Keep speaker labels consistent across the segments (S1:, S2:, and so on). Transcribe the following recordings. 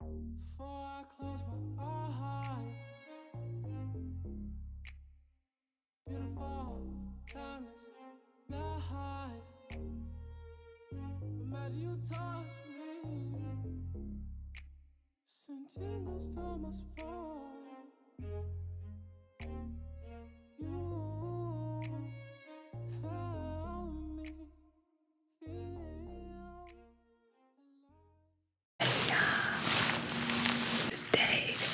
S1: Before I close my eyes, beautiful, timeless life. Imagine you touch me, send tingles down my spine. You help me Today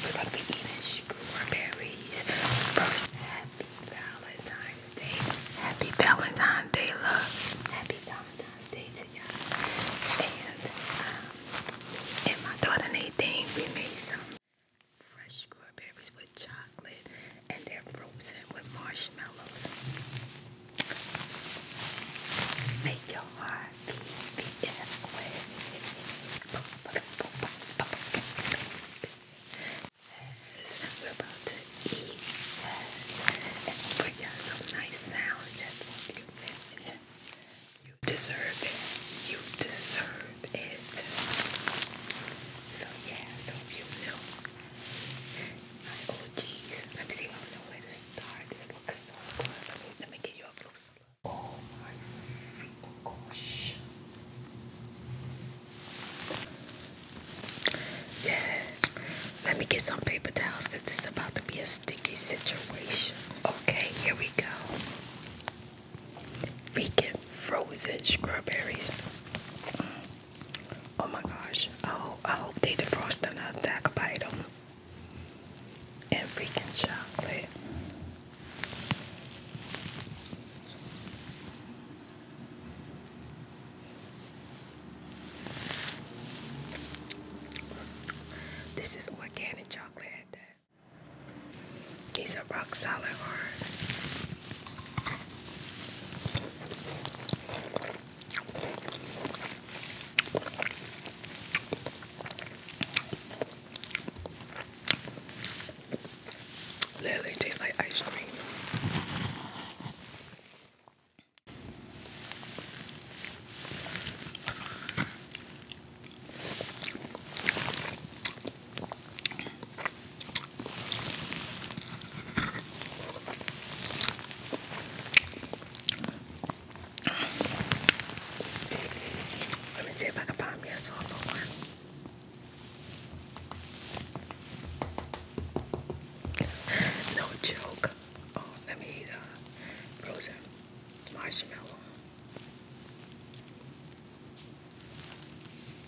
S1: we're gonna be eating strawberries. First, happy Valentine's Day. Happy Valentine's Day, love. Happy Valentine's Day to y'all. And um, and my daughter Nadine, we made some fresh strawberries with chocolate and they're frozen with marshmallows. Make your heart beat in Yes, we're about to eat. we got some nice sound for you. You deserve it. You deserve it. So yeah, so if you know my OGs. Let me see. I don't know where to start. This looks so good. Let me give you a close Oh my gosh. Yeah. Let me get some paper towels because this about to be a sticky situation. Okay, here we go. Freaking frozen strawberries. Mm. Oh my gosh. I hope, I hope they defrost the nut attack bite them. And freaking chocolate. This is organic chocolate at that. These are rock solid hard. Literally tastes like ice cream. Let me see if I can find me a solo one. No joke. Oh, let me eat uh, frozen marshmallow.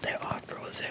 S1: They are frozen.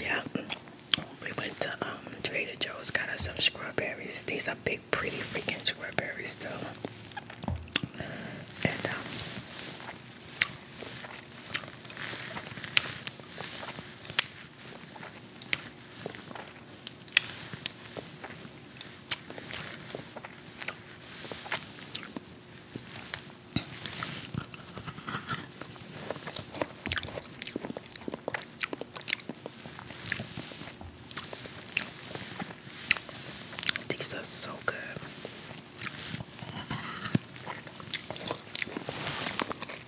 S1: Yeah, we went to um, Trader Joe's, got us some strawberries. These are big, pretty freaking strawberries, too. These are so good.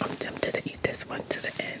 S1: I'm tempted to eat this one to the end.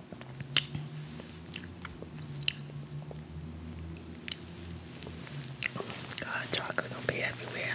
S1: God, chocolate gonna be everywhere.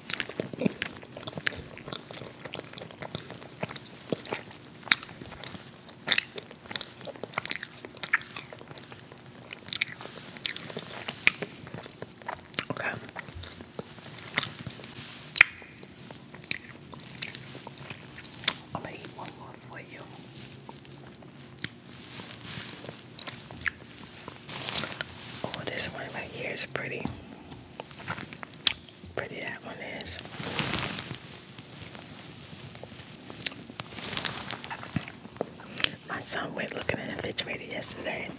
S1: Okay. I'm gonna eat one more for you. Oh, this one right here is pretty. Pretty that one is. My son went looking in the refrigerator yesterday.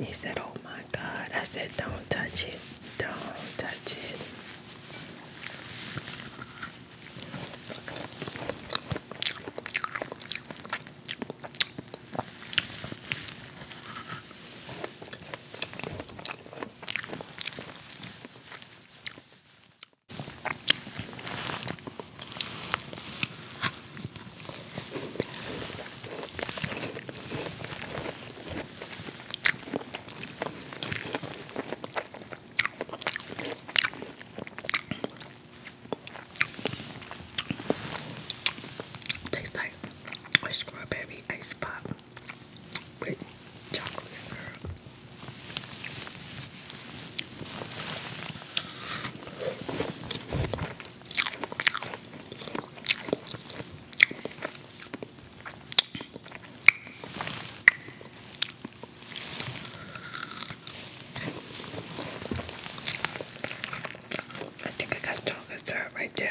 S1: He said, Oh my God. I said, Don't touch it. Don't touch it. Tastes like a strawberry ice pop with chocolate syrup. I think I got chocolate syrup right there.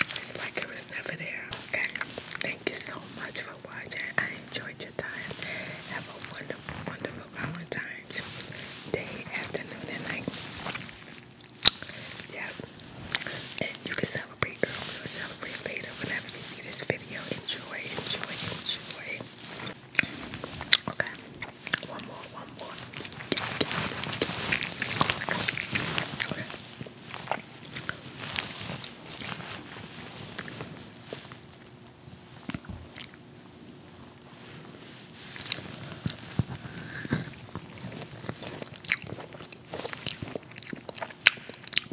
S1: It's like it was never there. Okay. Thank you so much for watching. I enjoyed your time. Have a wonderful, wonderful Valentine's Day, afternoon, and night. Yep. And you can celebrate celebrate We will celebrate later. Whenever you see this video, enjoy, enjoy, enjoy. Okay. One more, one more. Okay.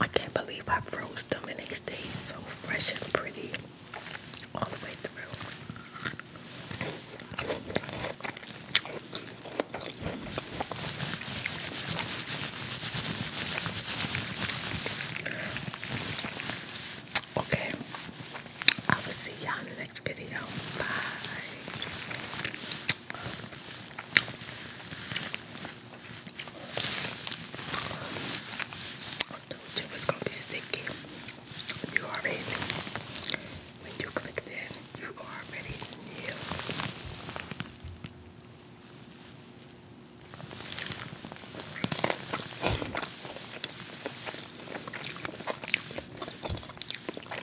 S1: I can't believe I froze them and they stayed so fresh and pretty all the way through. Okay, I will see y'all in the next video. Bye told you it's gonna be sticky. You already when you click that, you already knew.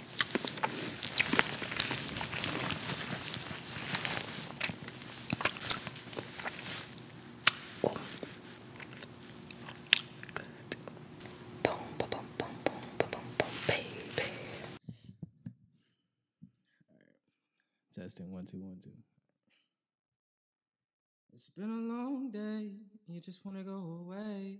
S1: Oh. Good. Boom, boom, boom, boom, boom, boom, boom, baby. Testing one, two, one, two. It's been a long day. You just want to go away.